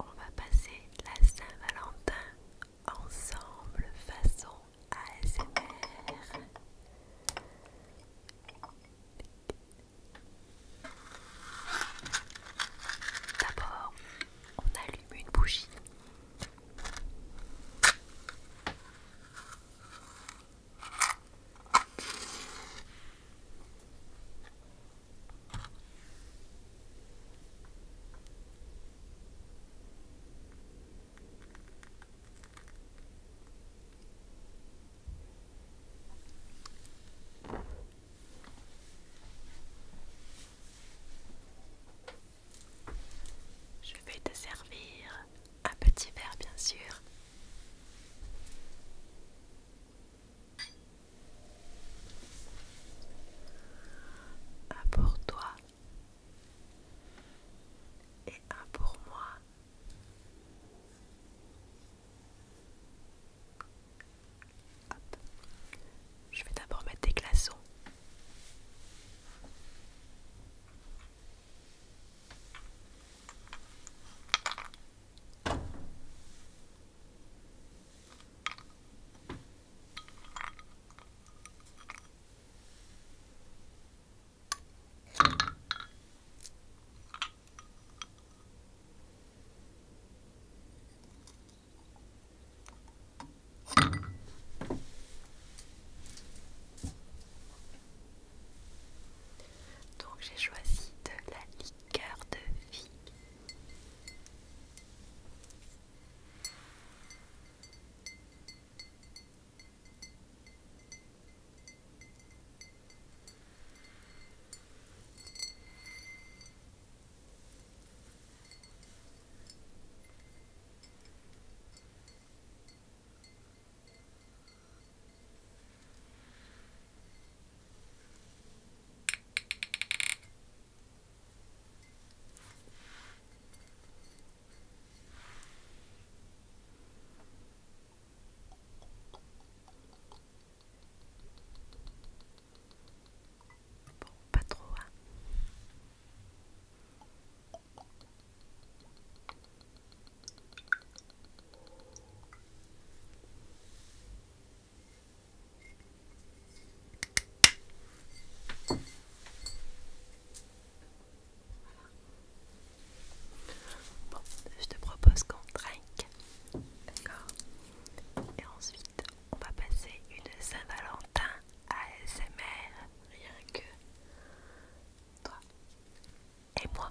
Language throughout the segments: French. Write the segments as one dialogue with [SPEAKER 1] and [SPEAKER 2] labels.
[SPEAKER 1] On va passer la Saint-Valentin ensemble façon ASMR. D'abord, on allume une bougie. Je vais te servir un petit verre bien sûr. Un pour toi et un pour moi. Je vais d'abord mettre des glaçons. Donc j'ai choisi de la liqueur cœur de vie pas trop, hein. Bon, je te propose qu'on trinque, d'accord Et ensuite, on va passer une Saint-Valentin ASMR, rien que toi et moi.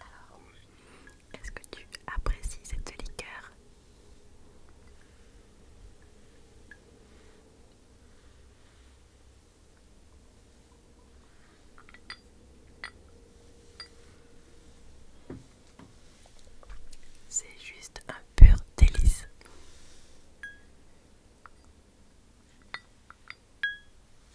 [SPEAKER 1] Alors, est-ce que tu apprécies cette liqueur c'est juste un pur délice.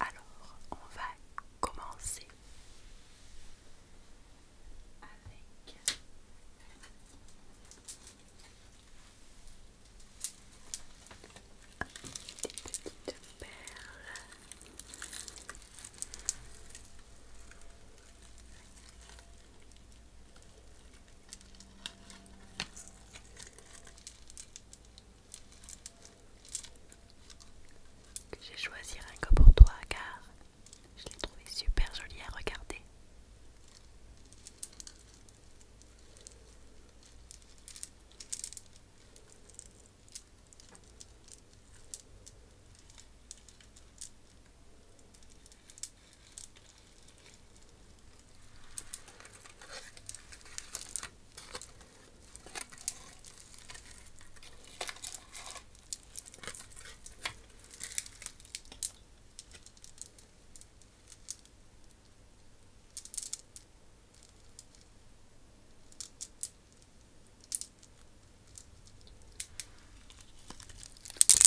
[SPEAKER 1] Alors, on va commencer avec des petites perles que j'ai choisi un que pour toi car je l'ai trouvé super joli à regarder. Il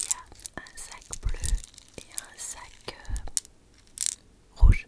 [SPEAKER 1] y a un sac bleu et un sac euh, rouge.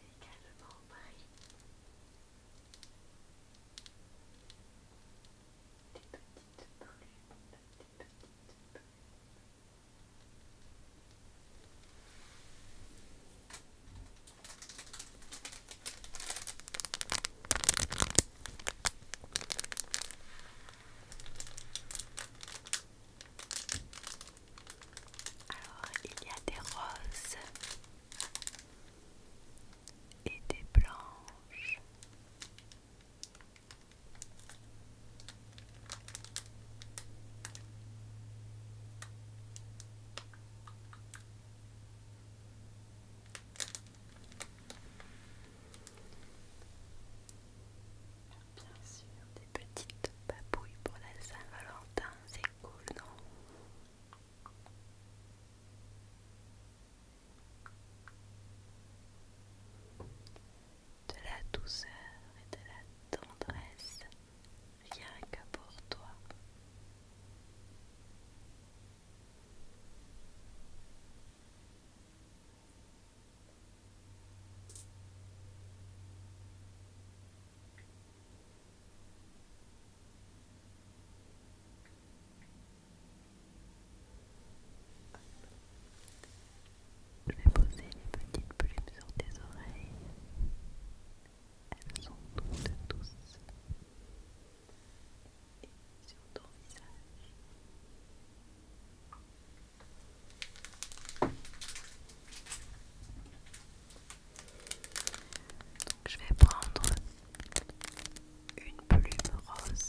[SPEAKER 1] J'ai également pris des petites plumes, des petites alors, il y a des roses et des blanches. Bien sûr, des petites papouilles pour la Saint-Valentin, c'est cool, non De la douceur et de la tendresse, rien que pour toi. Je vais poser les petites plumes sur tes oreilles. Elles sont toutes douces. Et sur ton visage je vais prendre une plume rose.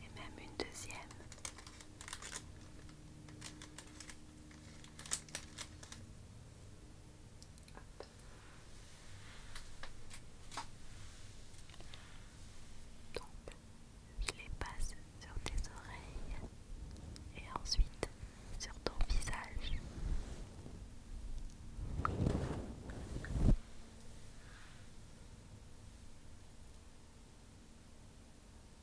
[SPEAKER 1] Et même une deuxième. Donc, je les passe sur tes oreilles et ensuite sur ton visage.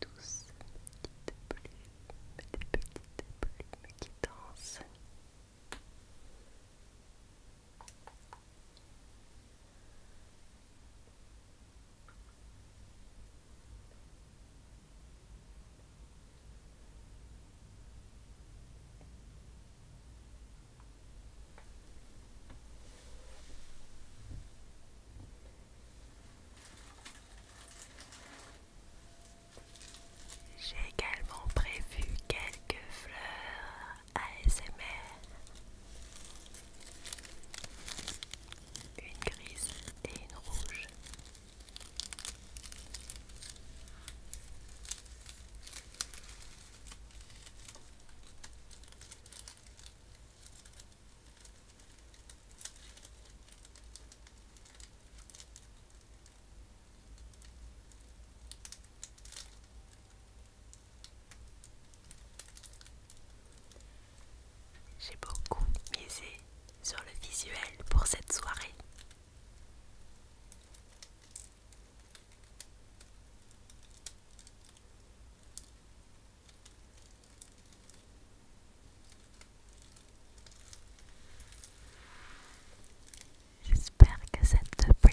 [SPEAKER 1] Tous petite mais des petites plumes qui dansent. J'ai également prévu quelques fleurs ASMR. Une grise et une rouge. J'ai beaucoup misé sur le visuel pour cette soirée. J'espère que ça te plaît.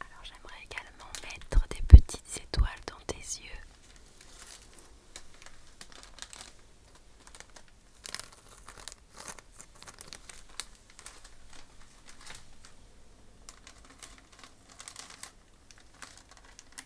[SPEAKER 1] Alors j'aimerais également mettre des petites étoiles dans tes yeux.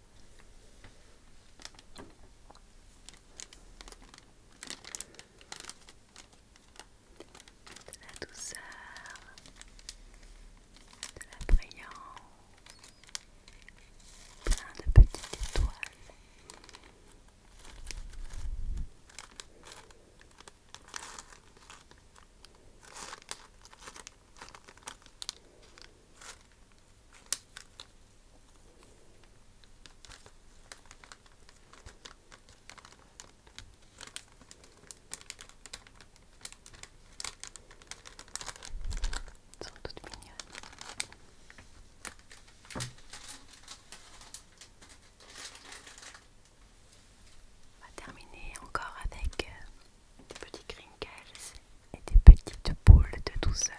[SPEAKER 1] de la douceur, de la brillance, plein de petites étoiles sont toutes mignonnes. On va terminer encore avec euh, des petits crinkles et des petites boules de douceur.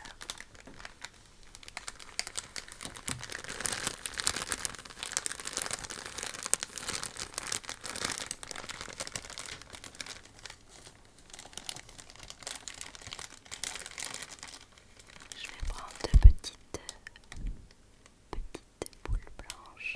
[SPEAKER 1] Je vais prendre deux petites, boules blanches.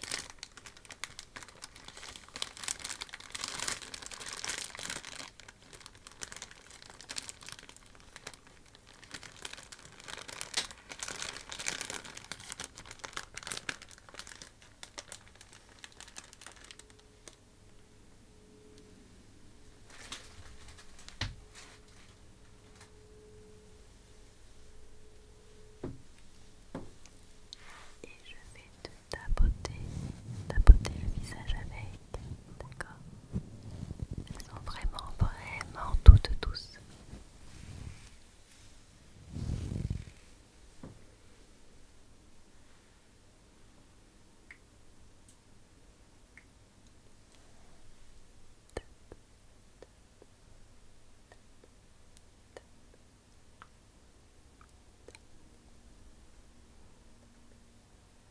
[SPEAKER 1] Et je vais te ta beauté, le visage avec, d'accord Elles sont vraiment, vraiment toutes douces.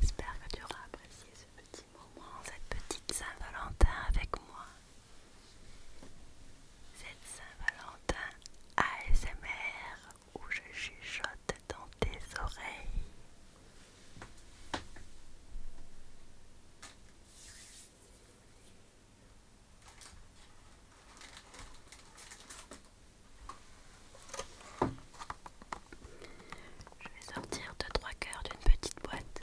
[SPEAKER 1] J'espère que tu auras apprécié ce petit moment, cette petite Saint-Valentin avec moi. Cette Saint-Valentin ASMR où je chuchote dans tes oreilles. Je vais sortir deux trois cœurs d'une petite boîte.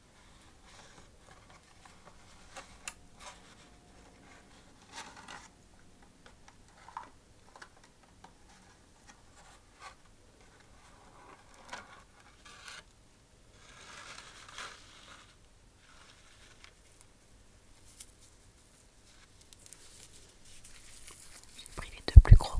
[SPEAKER 1] J'ai pris les deux plus gros.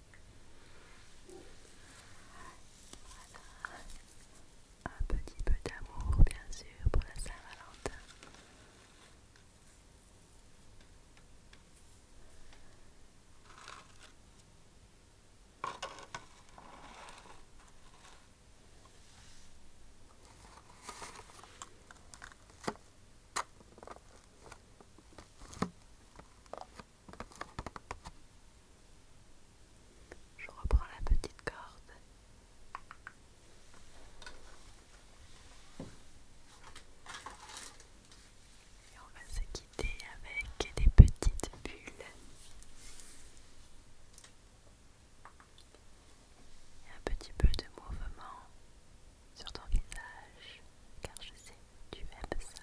[SPEAKER 1] Un petit peu d'amour, bien sûr, pour la Saint-Valentin. Je reprends la petite corde. Et on va se quitter avec des petites bulles. Et un petit peu de mouvement sur ton visage, car je sais tu aimes ça.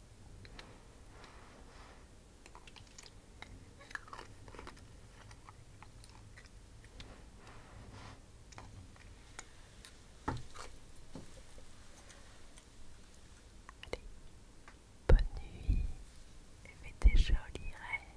[SPEAKER 1] bonne nuit et fais des jolis rêves.